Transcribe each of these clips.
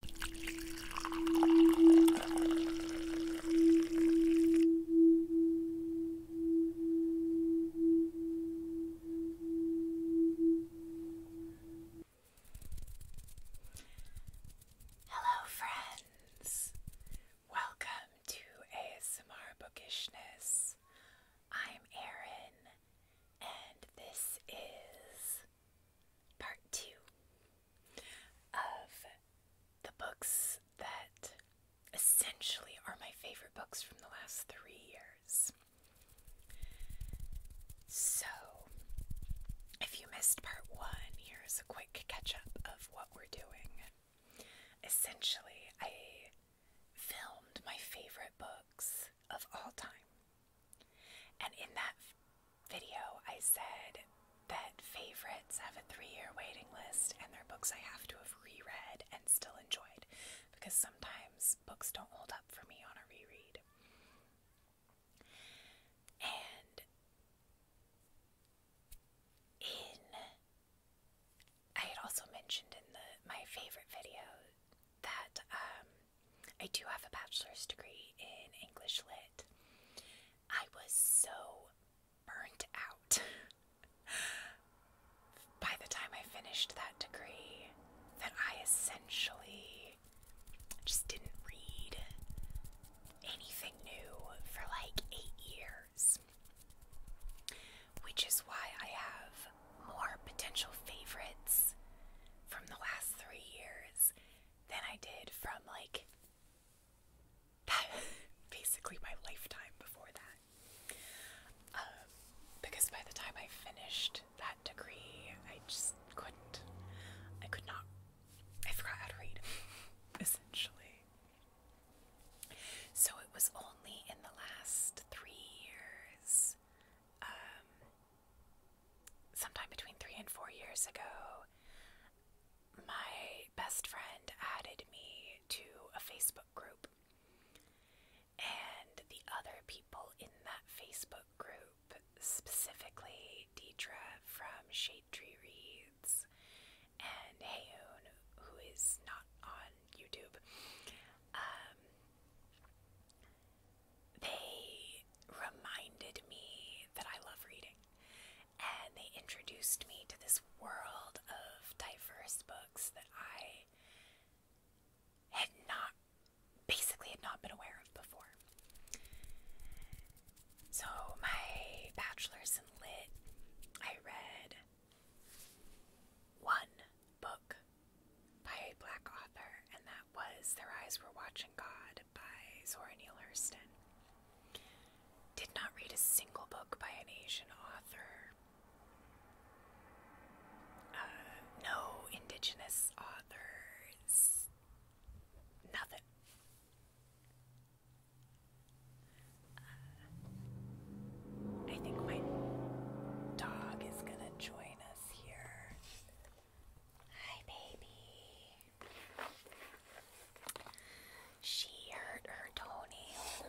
Hello, friends. Welcome to ASMR Bookishness. I'm Erin, and this is part two of the books that essentially are my favorite books from the last three years. So, if you missed part one, here's a quick catch up of what we're doing. Essentially, I filmed my favorite books of all time and in that video, I said that favorites have a three year waiting list, and they're books I have to have reread and still enjoyed because sometimes books don't hold up for me on a reread. And in I had also mentioned in the my favorite video that um, I do have a bachelor's degree in English Lit. I was so burnt out. By the time I finished that degree, that I essentially just didn't read anything new for like eight years. Which is why I have more potential favorites from the last three years than I did from like basically my lifetime before that. Um, because by the time I finished that degree, I just couldn't. I could not. I forgot how to read, essentially. So it was only in the last three years um, sometime between three and four years ago, my best friend added me to a Facebook group. And the other people in that Facebook group, specifically Deidre from Shade Tree Reads and Hayoon, who is not on YouTube, um, they reminded me that I love reading. And they introduced me to this world of diverse books that I had not, basically, had not been aware of before. So, my bachelor's in lit, I read one book by a black author, and that was Their Eyes Were Watching. God by Zora Neale Hurston. Did not read a single book by an Asian author. Uh, no indigenous authors. Nothing. Uh, I think my dog is gonna join us here. Hi, baby. She hurt her Tony,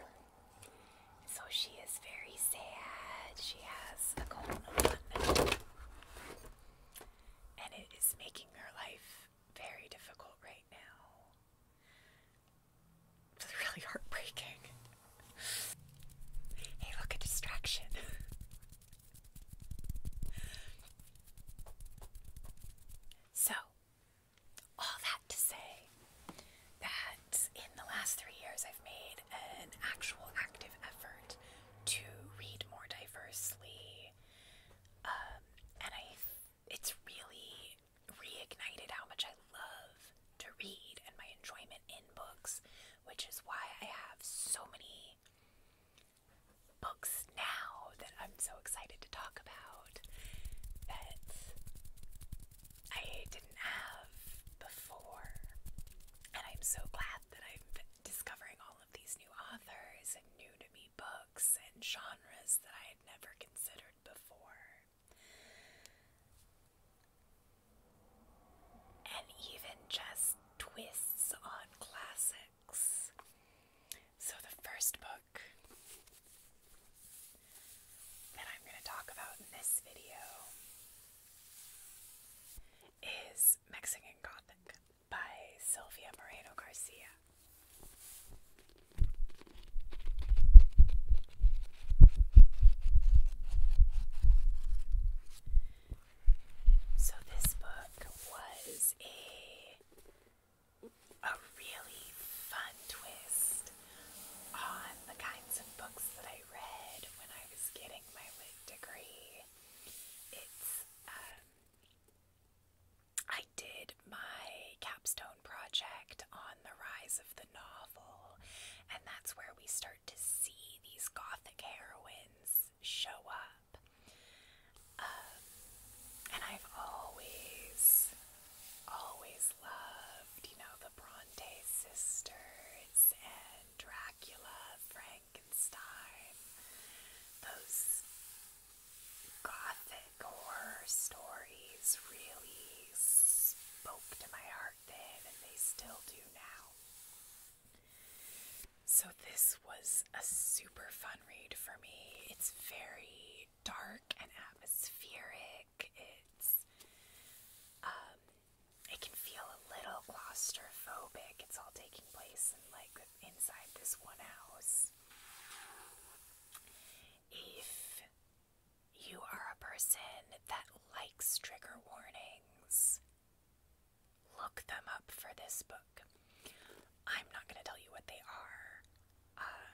so she is very sad. She has a cold, and it is making her life very difficult right now. It's really heartbreaking. hey, look, a distraction. So, all that to say that in the last three years I've made an actual active effort to read more diversely, um, and I it's really reignited how much I love to read and my enjoyment in books, which is why I have so many books now that I'm so excited to talk about that I didn't have before. And I'm so glad that I'm discovering all of these new authors and new to me books and genres that I had never considered before. And even just twists on classic so, the first book that I'm going to talk about in this video is Mexican Gothic by Sylvia Moreno Garcia. So this book was a a really fun twist on the kinds of books that I read when I was getting my lit degree. It's um, I did my capstone project on the rise of the novel, and that's where we start to see these gothic heroines show up up. Um, and I've always, always loved, you know, the Bronte sisters and Dracula, Frankenstein, those gothic horror stories really spoke to my heart then, and they still do now. So, this was a super fun read for me. It's very dark and atmospheric. It's, um, it can feel a little claustrophobic. It's all taking place like inside this one house. If you are a person that likes trigger warnings, look them up for this book. I'm not going to tell you what they are. Um,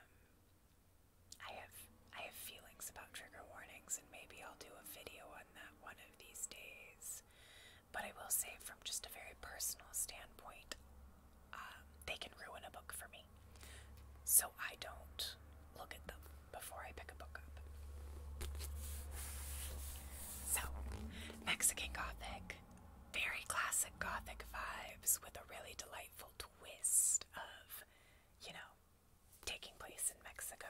I have I have feelings about trigger warnings, and maybe I'll do a video on that one of these days. But I will say, from just a very personal standpoint, um, they can ruin a book for me. So I don't look at them before I pick a book up. So, Mexican Gothic very classic gothic vibes with a really delightful twist of, you know, taking place in Mexico.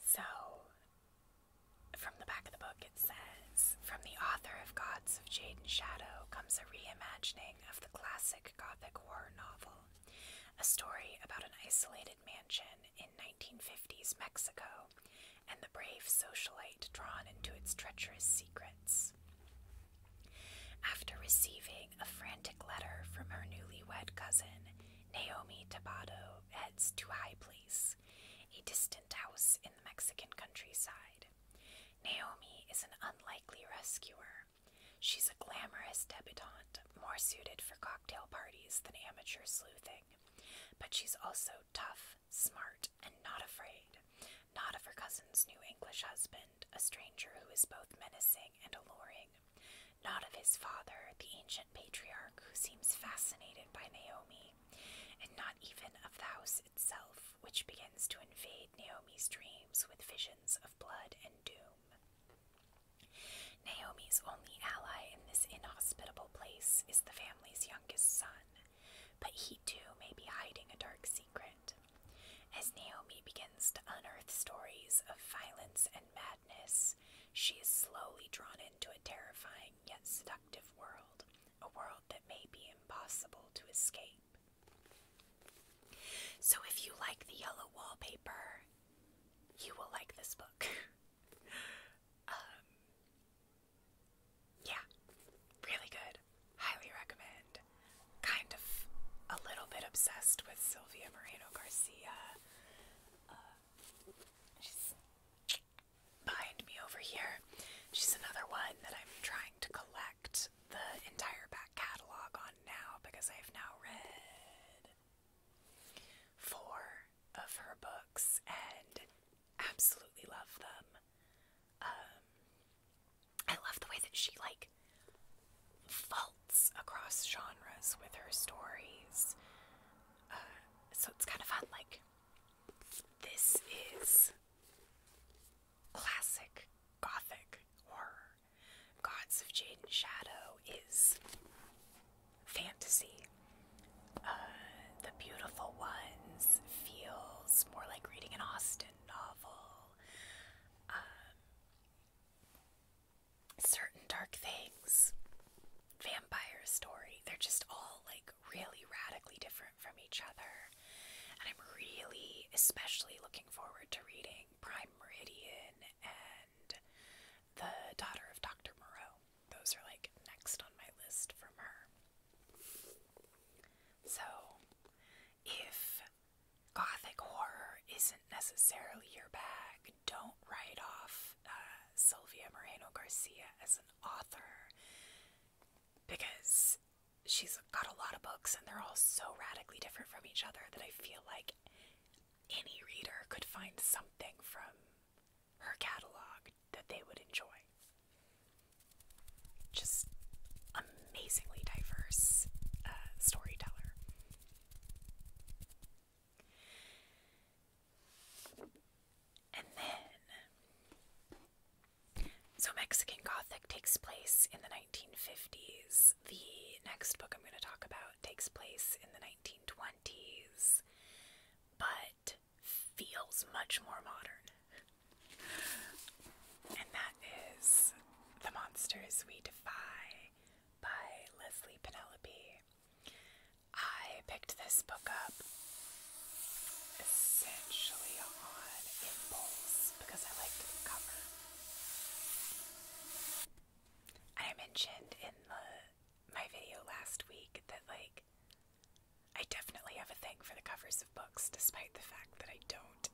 So, from the back of the book, it says From the author of Gods of Jade and Shadow comes a reimagining of the classic gothic horror novel, a story about an isolated mansion in 1950s Mexico and the brave socialite drawn into its treacherous secrets. After receiving a frantic letter from her newlywed cousin, Naomi Tabado heads to High Place, a distant house in the Mexican countryside. Naomi is an unlikely rescuer. She's a glamorous debutante, more suited for cocktail parties than amateur sleuthing. But she's also tough, smart, and not afraid. Not of her cousin's new English husband, a stranger who is both menacing and alluring. Not of his father, the ancient patriarch who seems fascinated by Naomi. And not even of the house itself, which begins to invade Naomi's dreams with visions of blood and doom. Naomi's only ally in this inhospitable place is the family's youngest son, but he too may be hiding a dark secret. As Naomi begins to unearth stories of violence and madness, she is slowly drawn into a terrifying yet seductive world, a world that may be impossible to escape. So, if you like the yellow wallpaper, you will like this book. Um, yeah, really good. Highly recommend. Kind of a little bit obsessed with Sylvia Moreno Garcia. Uh, she's behind me over here. She's another one that I'm trying to collect the entire back catalog on now because I've now read four of her books and absolutely love them. Um, I love the way that she like faults across genres with her stories. Uh, so it's kind of fun. Like, this is classic gothic horror. Gods of Jade and Shadow is fantasy. Uh, the Beautiful Ones feels more like reading an Austen novel. Um, certain dark things, vampire story, they're just all like really radically different from each other. And I'm really especially looking forward to reading Prime Meridian and the daughter of Dr. Moreau. Those are like next on my list from her. So, if gothic horror isn't necessarily your bag, don't write off uh, Sylvia Moreno Garcia as an author because she's got a lot of books and they're all so radically different from each other that I feel like any reader could find something from her catalog that they would enjoy. Just amazingly diverse uh, storyteller. And then, so Mexican Gothic takes place in the 1950s. The next book I'm going to talk about takes place in the 1920s. But feels much more modern. And that is The Monsters We Defy by Leslie Penelope. I picked this book up essentially on impulse because I liked the cover. I mentioned in the my video last week that like I definitely have a thing for the covers of books despite the fact that I don't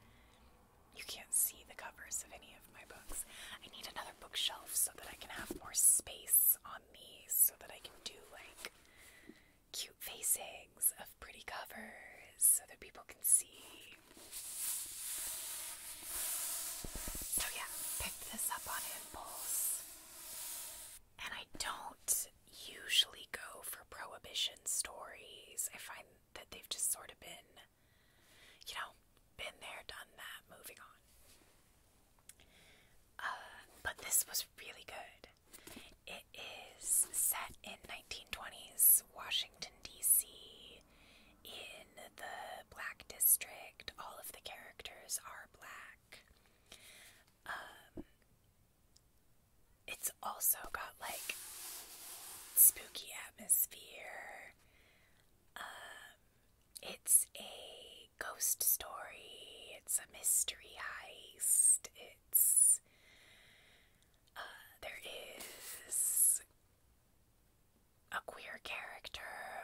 you can't see the covers of any of my books. I need another bookshelf so that I can have more space on these so that I can do like cute facings of pretty covers so that people can see. So yeah, picked this up on impulse. And I don't usually go for prohibition stories. I find that they've just sort of been, you know, been there, done that, moving on. Uh, but this was really good. It is set in 1920s Washington, D.C., in the black district. All of the characters are black. Um, it's also got like spooky atmosphere. Um, it's a ghost story. It's a mystery heist. It's uh, there is a queer character.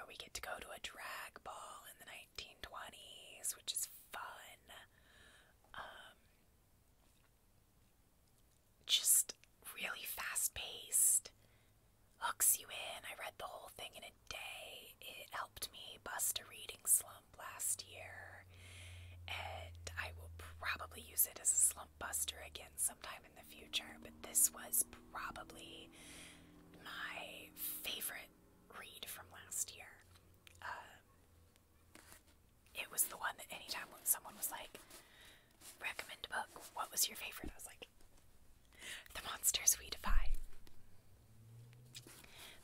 We get to go to a drag ball the 1920s, which is fun. Um, just really fast paced, hooks you in. I read the whole thing in a day. It helped me bust a reading slump last year, and I will probably use it as a slump buster again sometime in the future. But this was probably my favorite read from last year. Um, it was the one that anytime when someone was like, recommend a book, what was your favorite? I was like, The Monsters We Defy.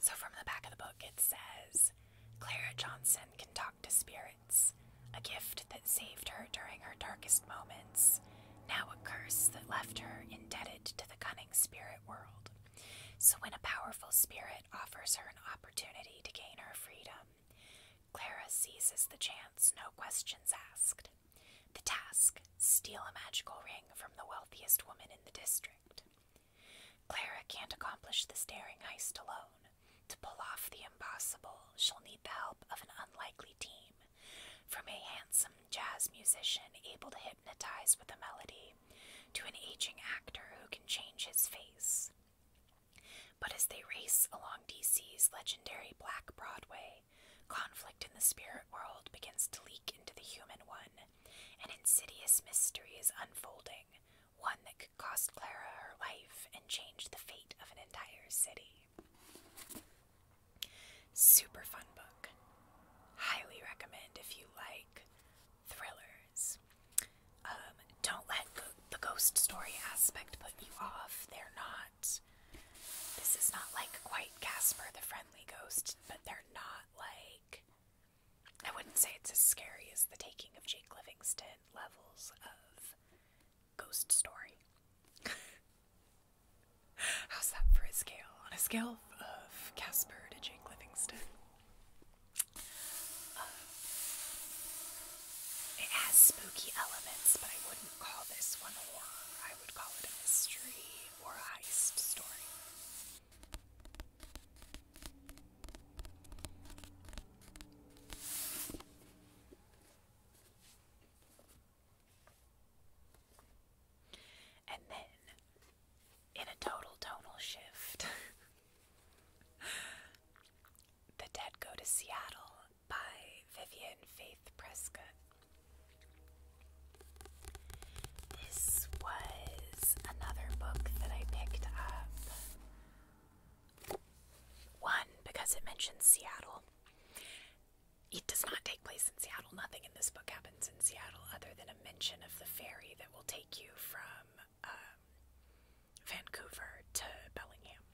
So from the back of the book, it says, Clara Johnson can talk to spirits, a gift that saved her during her darkest moments, now a curse that left her indebted to the cunning spirit world. So, when a powerful spirit offers her an opportunity to gain her freedom, Clara seizes the chance, no questions asked. The task steal a magical ring from the wealthiest woman in the district. Clara can't accomplish this daring heist alone. To pull off the impossible, she'll need the help of an unlikely team, from a handsome jazz musician able to hypnotized with a melody to an aging actor who can change his face. But as they race along DC's legendary Black Broadway, conflict in the spirit world begins to leak into the human one. An insidious mystery is unfolding, one that could cost Clara her life and change the fate of an entire city. Super fun book. Highly recommend if you like thrillers. Um, don't let the ghost story aspect put you off. They're not. This is not like quite Casper the Friendly Ghost, but they're not like. I wouldn't say it's as scary as the taking of Jake Livingston levels of ghost story. How's that for a scale? On a scale of Casper to Jake Livingston. Uh, it has spooky elements, but I wouldn't call this one horror. I would call it a mystery or a heist story. And then in a total tonal shift. the Dead Go to Seattle by Vivian Faith Prescott. This was another book that I picked up. One, because it mentions Seattle, it does not take place in Seattle. Nothing in this book happens in Seattle other than a mention of the ferry that will take you from um, Vancouver to Bellingham.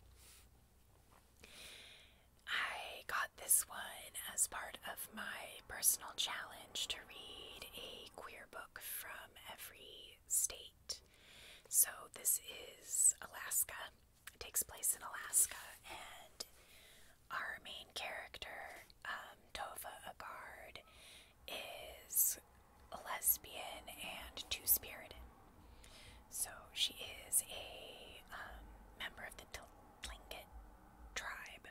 I got this one as part of my personal challenge to read a queer book from every state. So this is Alaska. It takes place in Alaska, and our main character, um, Tova Agard, is a lesbian and two spirited. So she is a um, member of the Tlingit tribe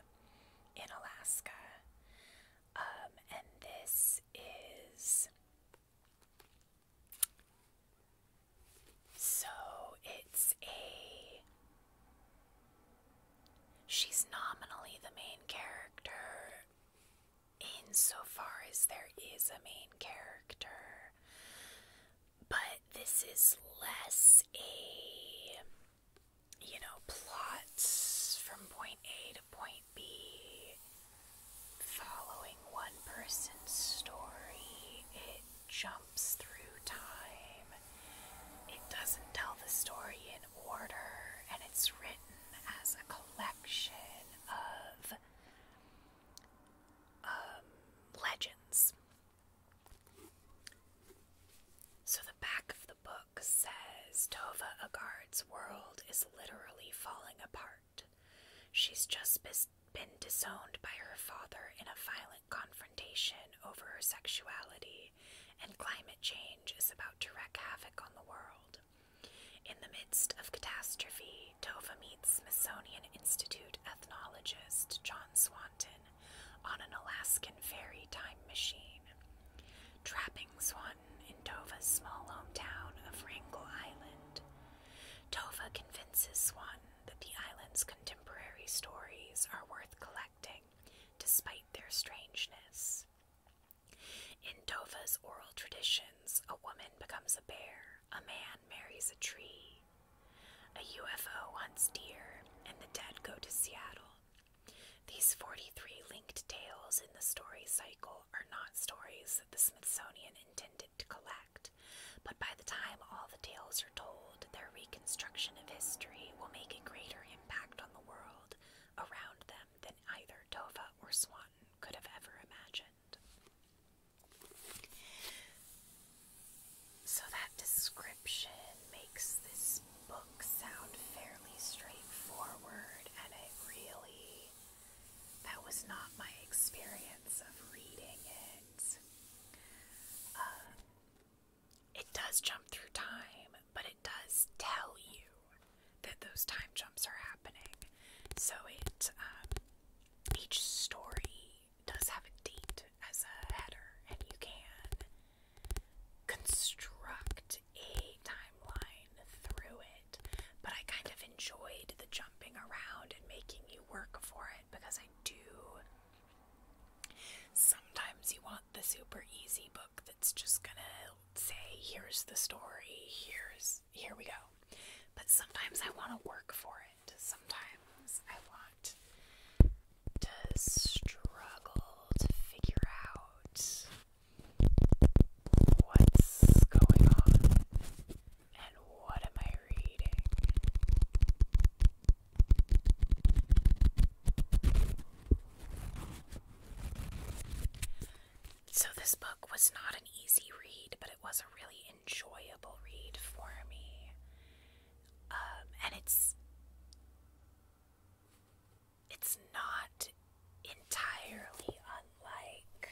in Alaska. Um, and this is. So it's a She's nominally the main character insofar as there is a main character, but this is less a, you know, plot from point A to point B following one person's story. It jumps through time. It doesn't tell the story in order, and it's written as a collection of um, legends. So the back of the book says Tova Agard's world is literally falling apart. She's just been disowned by her father in a violent confrontation over her sexuality, and climate change is about to wreak havoc on the world. In the midst of catastrophe, Tova meets Smithsonian Institute ethnologist John Swanton on an Alaskan ferry time machine. Trapping Swanton in Tova's small hometown of Wrangell Island, Tova convinces Swanton that the island's contemporary stories are worth collecting despite their strangeness. In Dova's oral traditions, a woman becomes a bear, a man marries a tree, a UFO hunts deer, and the dead go to Seattle. These 43 linked tales in the story cycle are not stories that the Smithsonian intended to collect, but by the time all the tales told, their reconstruction of history will make a greater impact on the world around them than either Dova or Swanton could have ever imagined. So that description makes this book sound fairly straightforward, and it really. That was not my experience of reading it. Um, it does jump through time, but it does tell you that those time jumps are happening. So it um, each story does have a date as a header, and you can construct a timeline through it. But I kind of enjoyed the jumping around and making you work for it because I do. Sometimes you want the super easy book that's just gonna say, here's the story, here's here we go. But sometimes I want to work for it. Sometimes I want to struggle to figure out what's going on and what am I reading. So, this book was not an easy read, but it was a really enjoyable read for me. Um, and it's it's not entirely unlike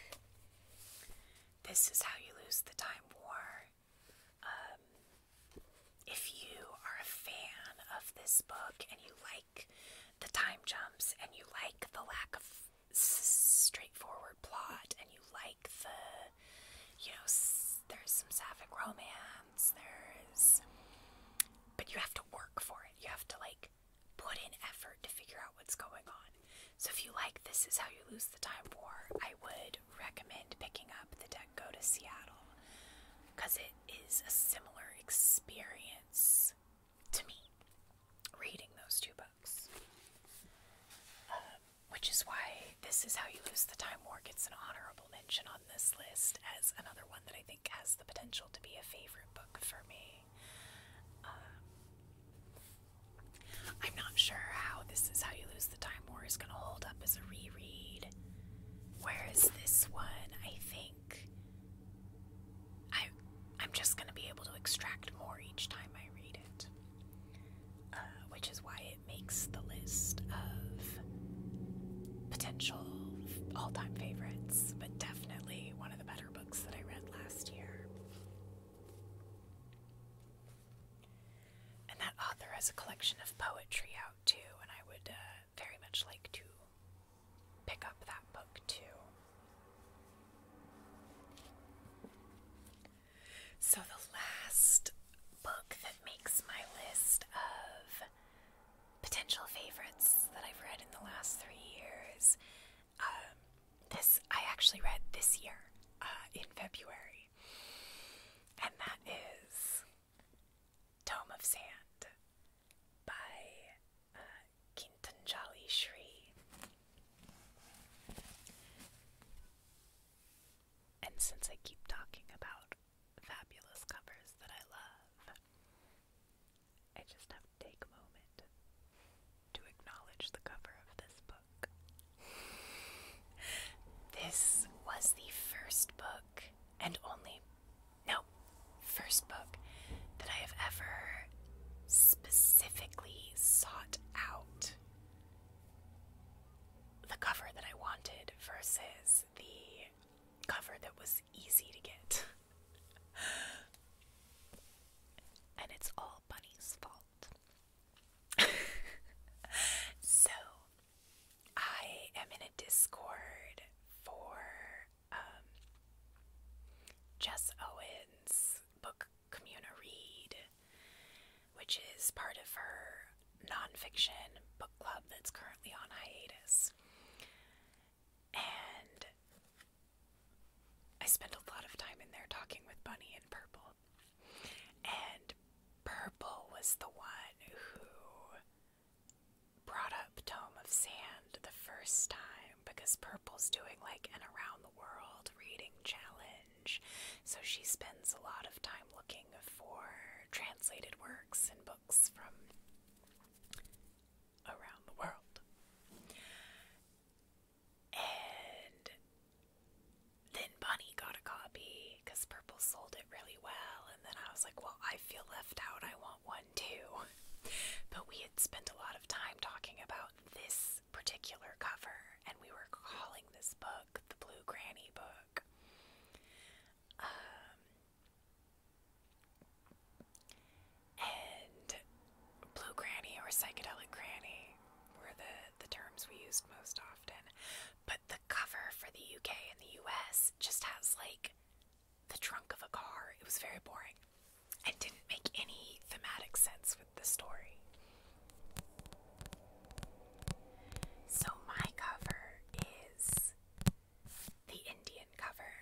This Is How You Lose the Time War. Um, if you are a fan of this book and you like the time jumps and you like the lack of straightforward plot and you like the you know there's some sapphic romance there's but you have to work for it you have to like put in effort to figure out what's going on so if you like this is how you lose the time war i would recommend picking up the deck go to seattle because it. Is a similar experience to me reading those two books. Uh, which is why This Is How You Lose the Time War gets an honorable mention on this list as another one that I think has the potential to be a favorite book for me. Uh, I'm not sure how This Is How You Lose the Time War is going to hold up as a reread good. this one, I think I I'm just gonna be able to extract more each time I read it. Uh, which is why it makes the list of potential all-time favorites, but definitely one of the better books that I read last year. And that author has a collection of poetry out too, and I would uh, very much like to pick up that book too. So, the last book that makes my list of potential favorites that I've read in the last three years, um, this I actually read this year uh, in February, and that is Tome of Sand by uh, Kintanjali Shri. And since I keep talking about fabulous covers that I love, I just have to take a moment to acknowledge the cover of this book. this was the first book and only, no, first book that I have ever specifically sought out the cover that I wanted versus the cover that was easy to get. and it's all Bunny's fault. so, I am in Discord for um, Jess Owens' book Communa Read, which is part of her nonfiction book club that's currently on hiatus. And I spent a lot of time in there talking with Bunny and Purple. And Purple was the one who brought up Tome of Sand the first time because Purple's doing like an around the world reading challenge. So she spends a lot of time looking for translated works and books from around the world. And then Bunny got a copy because Purple sold it really well. And then I was like, well, I I feel left out. I want one too. But we had spent a lot of time talking about this particular cover, and we were calling this book the Blue Granny book. Um, and Blue Granny or Psychedelic Granny were the, the terms we used most often. But the cover for the UK and the US just has like the trunk of a car. It was very boring and didn't make any thematic sense with the story. So, my cover is the Indian cover.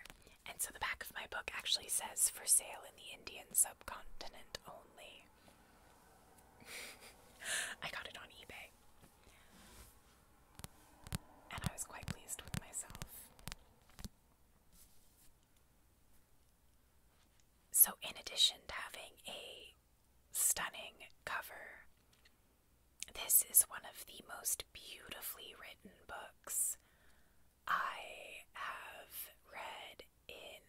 And so, the back of my book actually says for sale in the Indian subcontinent only. I got it on eBay and I was quite pleased with myself. So, in addition to having a stunning cover, this is one of the most beautifully written books I have read in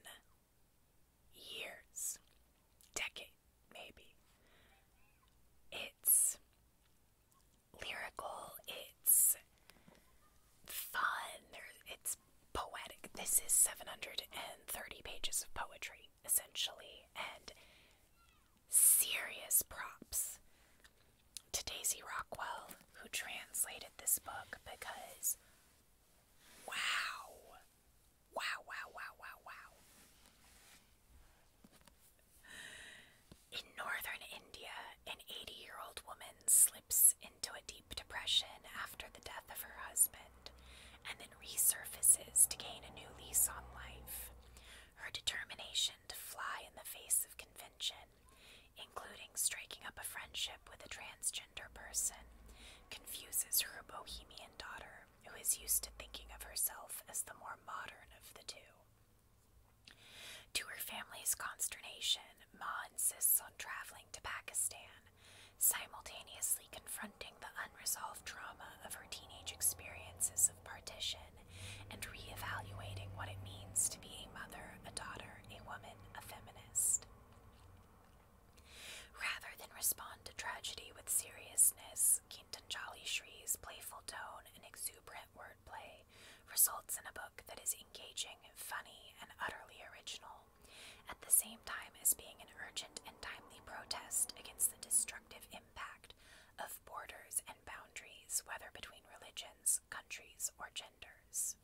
years, decades maybe. It's lyrical, it's fun, it's poetic. This is 730 pages of poetry, essentially, and serious props to Daisy Rockwell, who translated this book because wow! Wow, wow, wow, wow, wow. In northern India, an 80 year old woman slips into a deep depression after the death of her husband and then resurfaces to gain a new lease on life. Her determination to fly in the face of convention, including striking up a friendship with a transgender person, confuses her bohemian daughter who is used to thinking of herself as the more modern of the two. To her family's consternation, Ma insists on traveling to Pakistan, simultaneously confronting the unresolved trauma of her teenage experiences of partition and reevaluating what it means to be a mother, a daughter, a woman, a feminist. Rather than respond to tragedy with seriousness, Kintanjali Shri's playful tone tone exuberant wordplay results in a book that is engaging, funny, and utterly original, at the same time as being an urgent and timely protest against the destructive impact of borders and boundaries, whether between religions, countries, or genders.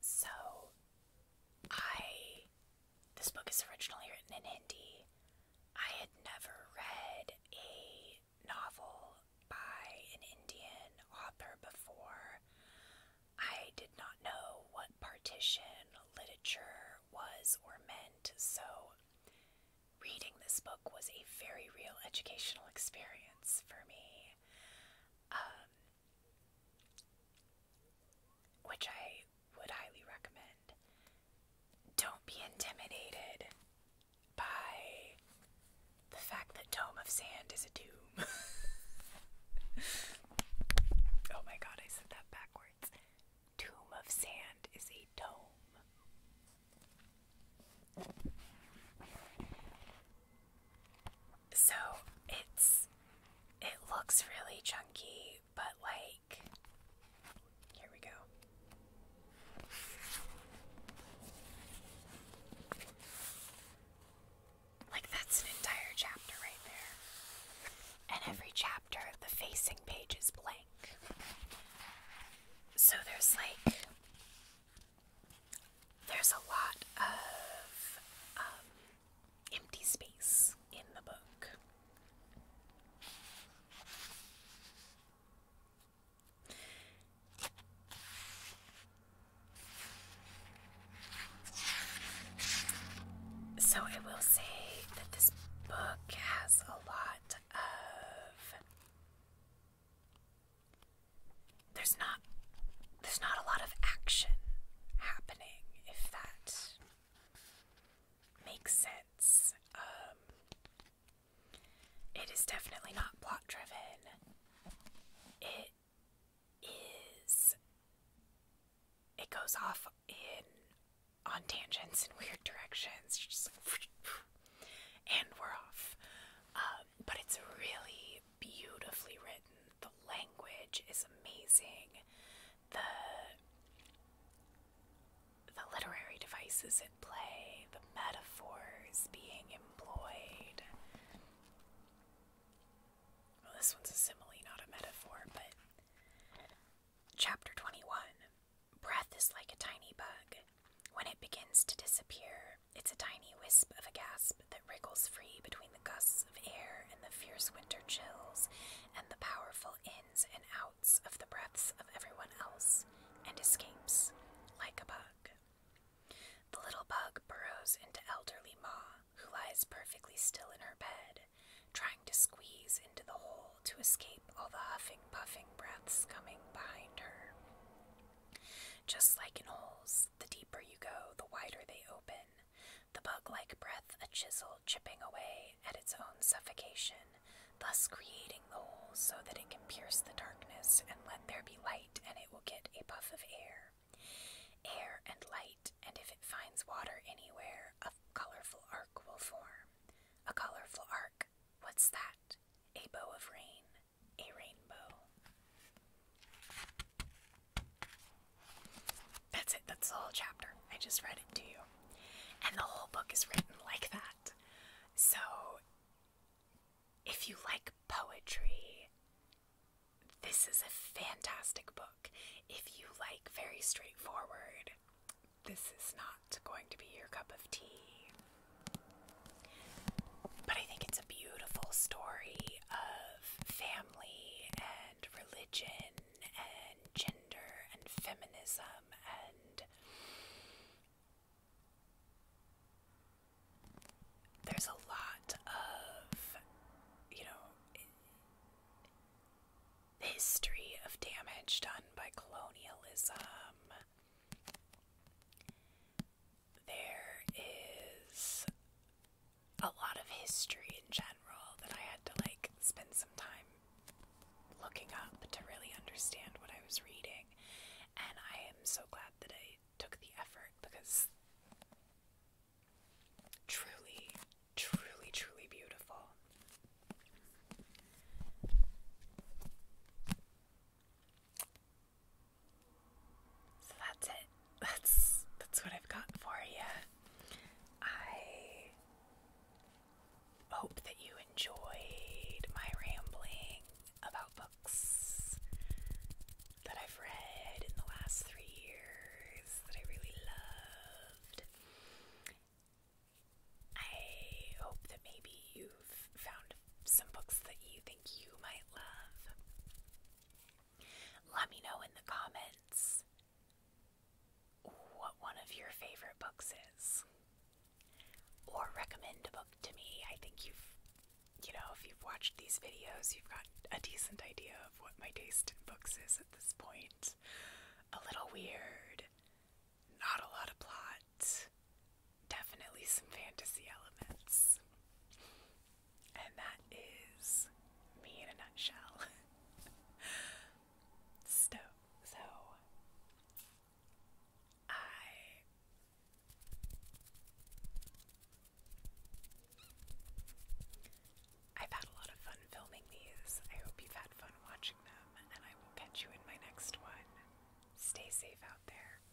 So, I. This book is originally written in Hindi. I had never read a novel by an Indian author before. I did not know what partition literature was or meant, so reading this book was a very real educational experience for me um, which I would highly recommend. Don't be intimidated by the fact that Tome of Sand is a tomb. oh my god, I said that backwards. Tomb of Sand is a dome. So it's it looks really chunky, but like here we go. Like that's an entire chapter right there. And every chapter the facing page is blank. So there's like there's a lot of um, empty space in the book. So, I will say that this book has a lot of there's not there's not a lot of action happening if that makes sense. Um, it is definitely not plot driven. It is it goes off in on tangents in weird directions. And we're off. Um, but it's really beautifully written. The language is amazing. The the literary devices at play, the metaphors being employed. Well, this one's a simile, not a metaphor, but Chapter 21 Breath is like a tiny bug. When it begins to disappear, it's a tiny wisp of a gasp that wriggles free between the gusts of air and the fierce winter chills and the powerful ins and outs of the breaths of everyone else, and escapes like a bug. The little bug burrows into elderly Ma, who lies perfectly still in her bed, trying to squeeze into the hole to escape all the huffing, puffing breaths coming behind her. Just like in holes, the deeper you go, the wider they open, the bug like breath a chisel chipping away at its own suffocation, thus creating the hole so that it can pierce the darkness and let there be light, and it will get a puff of air. Air and light, and if it finds water anywhere, a colorful arc will form. A colorful arc. What's that? A bow of rain a rainbow. That's it, that's the whole chapter. I just read it to you. And the whole book is written like that. So, if you like poetry, this is a fantastic book. If you like very straightforward, this is not going to be your cup of tea. But I think it's a beautiful story of family and religion and gender and feminism and there's a lot of, you know, history of damage done by colonialism there is a lot of history in general that I had to like spend some time looking up to really understand what I was reading. And I am so glad that I took the effort because truly, truly, truly beautiful. So that's it. That's that's what I've got for you. I hope that you enjoyed my rambling about books that I've read in the last 3 years that I really loved. I hope that maybe you you've found some books that you think you might love. Let me know in the comments what one of your favorite books is. Or recommend a book to me. I think you've, you know, if you've watched these videos, you've got a decent idea of what my taste in books is at this point. A little weird, not a lot of plot, definitely some fantasy elements. And that is me in a nutshell. so, so I I've had a lot of fun filming these. I hope you've had fun watching them, and I will catch you in my next one. Stay safe out there.